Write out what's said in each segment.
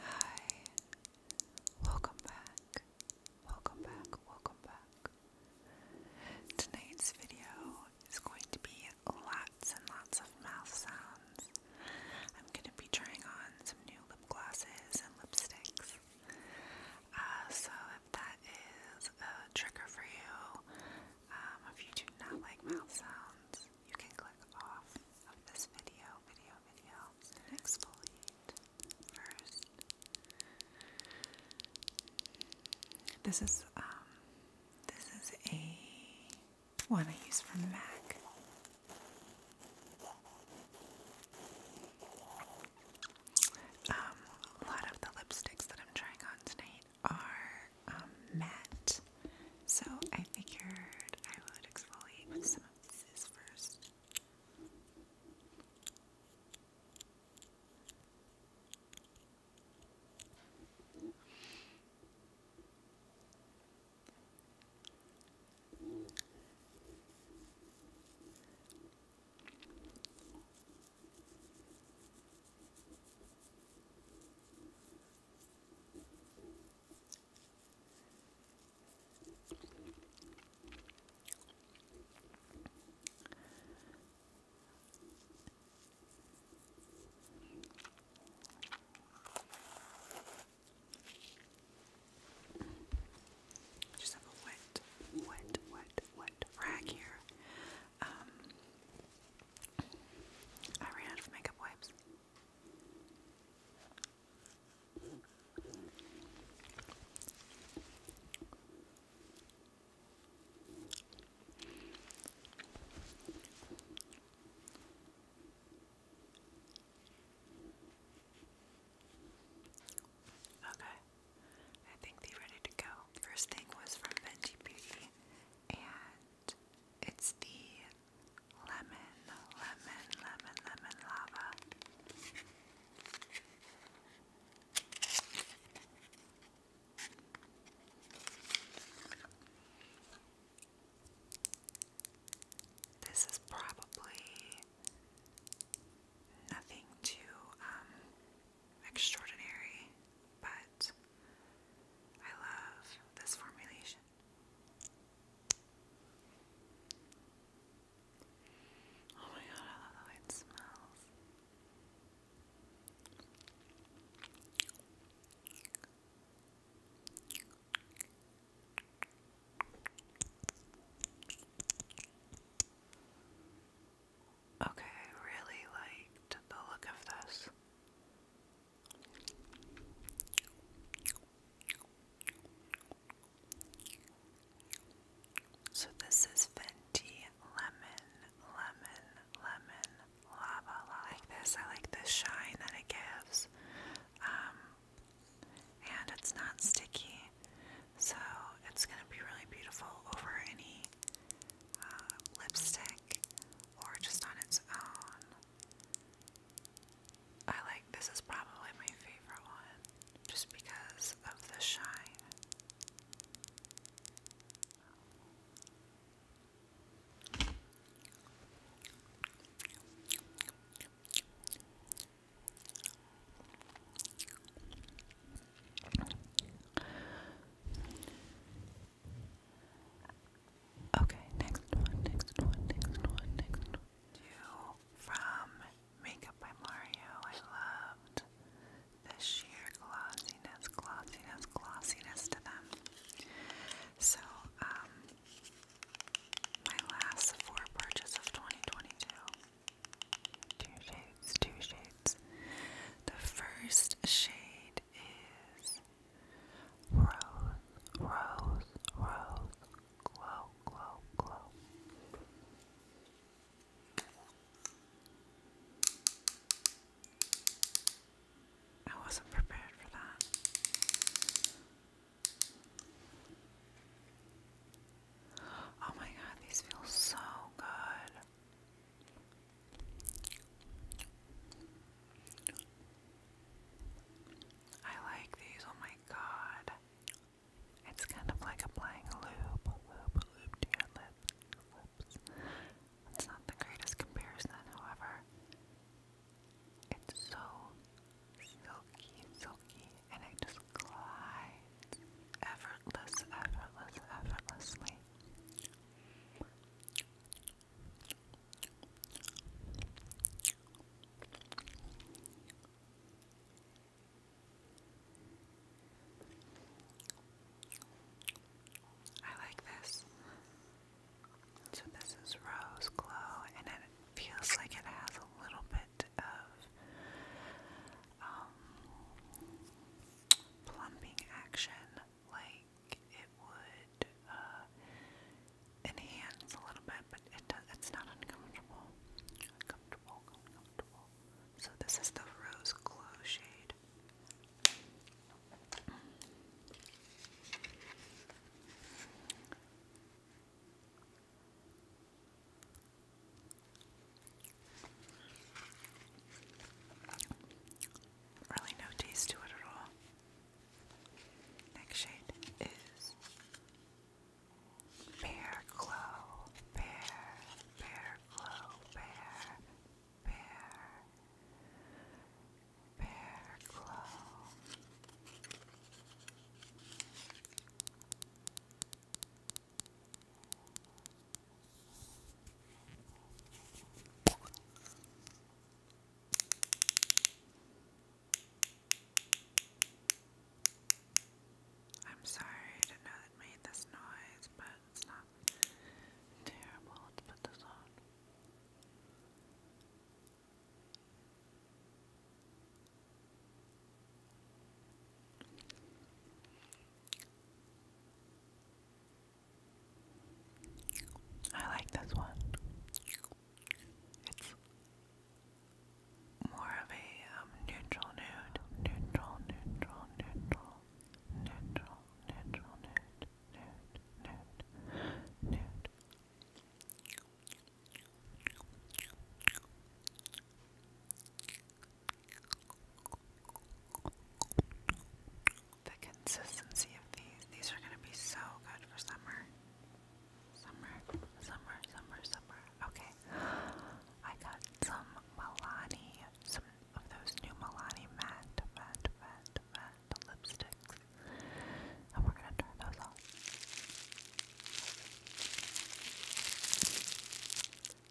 Hi, welcome back, welcome back, welcome back. Tonight's video is going to be lots and lots of mouth sounds. I'm going to be trying on some new lip glosses and lipsticks. Uh, so, if that is a trigger for you, um, if you do not like mouth sounds, you can click off of this video, video, video, exfoliate first. This is um, this is a one I use from MAC. Um, a lot of the lipsticks that I'm trying on tonight are matte, um, so I figured I would exfoliate with some of this first. Just have a wet, wet, wet, wet rag here. Um, I ran out of makeup wipes. Okay, I think they're ready to go. First thing was from Benji Beauty, and it's the lemon, lemon, lemon, lemon lava. This is probably nothing too um, extraordinary, but I love this formulation. Oh my god, I love how it smells. Okay, really liked the look of this. So this is Fenty Lemon, Lemon, Lemon, Lava. I like this. I like the shine that it gives. Um, and it's not sticky. So it's going to be really beautiful over any uh, lipstick or just on its own. I like this is probably my favorite one just because of the shine. Okay, next one, next one, next one, next one. from Makeup by Mario. I loved the sheer glossiness, glossiness, glossiness to them. So, um, my last four purchase of 2022 shades, two shades. The first shade is Rose, Rose, Rose, Glow, Glow, Glow. I wasn't prepared for that. Oh my god, these feel so good. I like these, oh my god. It's kind of like applying a lube, lube, lube to your lips, lips. It's not the greatest comparison, however. It's so silky, silky, and it just glides effortless, effortlessly. I like this. So this is Rose Glow, and it feels like it has a little bit of um, plumping action, like it would uh, enhance a little bit, but it does, it's not Uncomfortable, uncomfortable. So this is the Rose Glow shade. Really no taste to it at all. Next shade is Bear Glow, Bear, Bear Glow, Bear, Bear, Bear Glow. I'm sorry to know that made this noise, but it's not terrible. Let's put this on. I like this one. It's more of a um, neutral nude, neutral, neutral, neutral, neutral, neutral, nude, nude, nude, nude. The consistency of these, these are going to be so good for summer. Summer, summer, summer, summer. Okay. I got some Milani, some of those new Milani matte, matte, matte, matte lipsticks. And we're going to turn those on.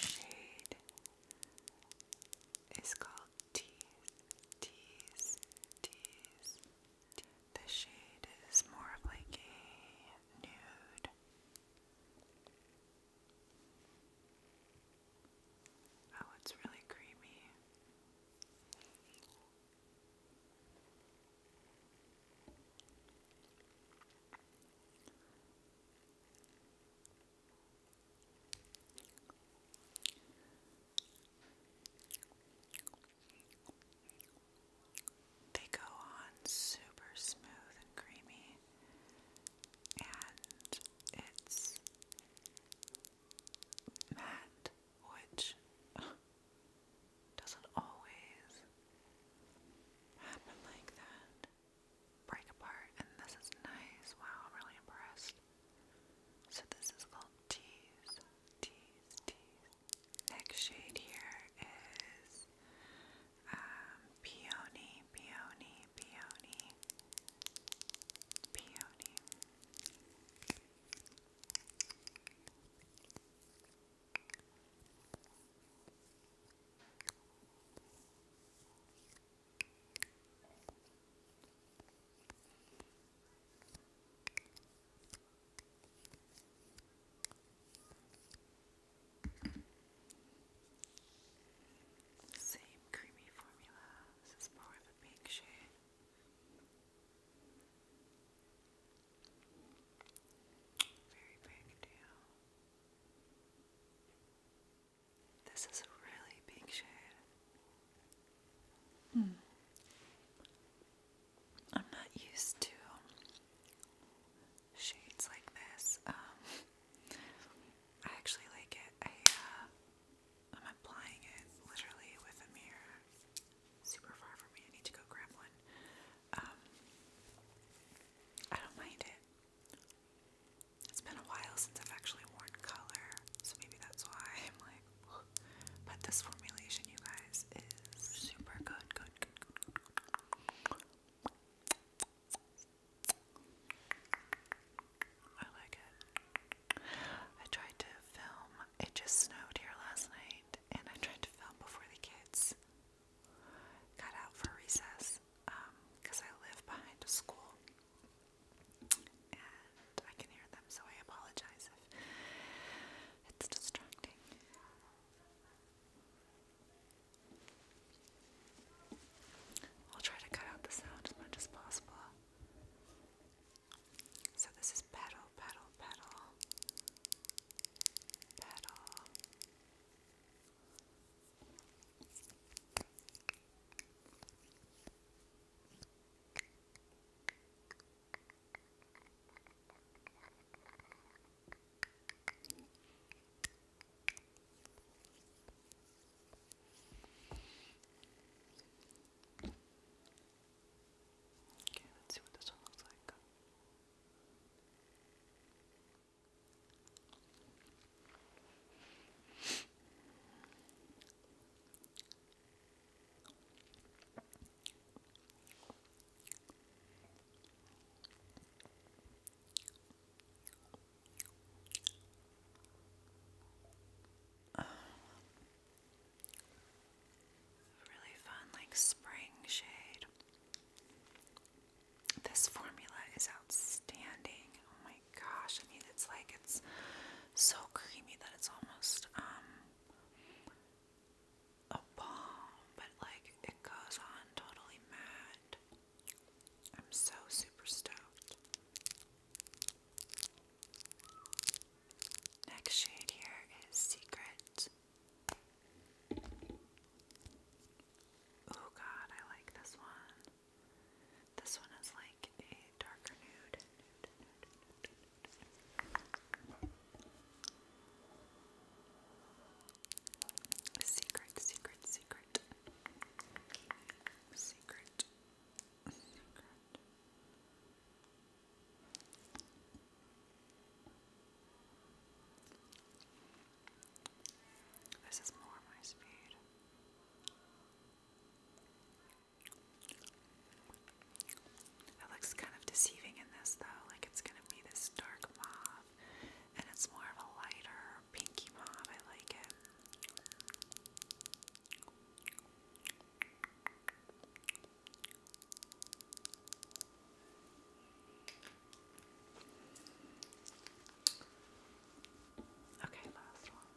Shade is called Tease, Tease, Tease. The shade is more of like a nude. Oh, it's really creamy. They go on super smooth and creamy, and it's matte, which doesn't always happen like that. Break apart, and this is nice. Wow, I'm really impressed. So this is called tease, tease, tease. Next shade here is um, peony, peony peony, peony. Same creamy formula. This is more of a pink shade. Very big deal. This is a really big shade. Hmm. I'm not used to shades like this. Um, I actually like it. I uh, I'm applying it literally with a mirror. Super far from me. I need to go grab one. Um, I don't mind it. It's been a while since I've actually worn color, so maybe that's why But this formulation, you guys, is super Good. good. I like it. I tried to film. It just snowed here last night, and I tried to film before the kids got out for recess because um, I live behind a school and I can hear them, so I apologize if it's distracting. I'll try to cut out the sound as much as possible. So this is pedal, pedal, pedal, pedal. Okay, let's see what this one looks like. Really fun, like spring shade. This formula is outstanding. Oh my gosh! I mean, it's like it's so creamy that it's almost um, a balm, but like it goes on totally matte. I'm so super stoked. Next shade here is Secret. Oh god, I like this one. This one is like a darker nude. Secret, secret, secret. This is more my speed. It looks kind of deceiving in this though, like it's gonna be this dark mauve. And it's more of a lighter pinky mauve. I like it. Okay, last one.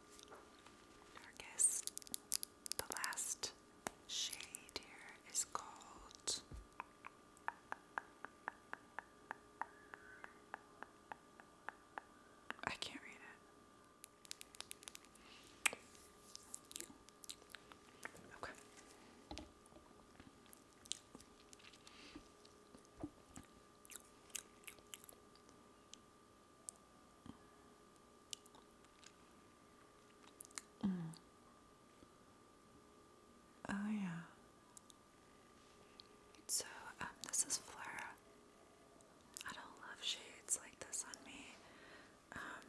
Darkest. The last shade here is called I can't read it. Okay. Mm. Oh, yeah. So, um, this is Fleur. I don't love shades like this on me. Um,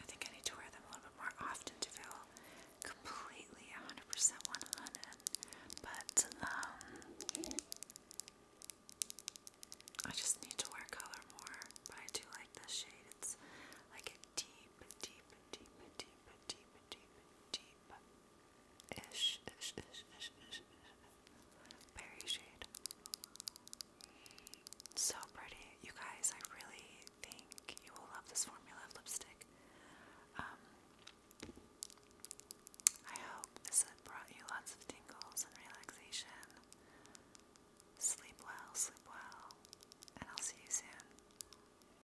I think I need to wear them a little bit more often to feel completely 100% 100. But, um, I just need to wear color more. But I do like this shade. It's like a deep, deep, deep, deep deep, deep, deep, deep berry shade. So pretty. You guys, I really think you will love this formula of lipstick. Um, I hope this has brought you lots of tingles and relaxation. Sleep well, sleep well, and I'll see you soon.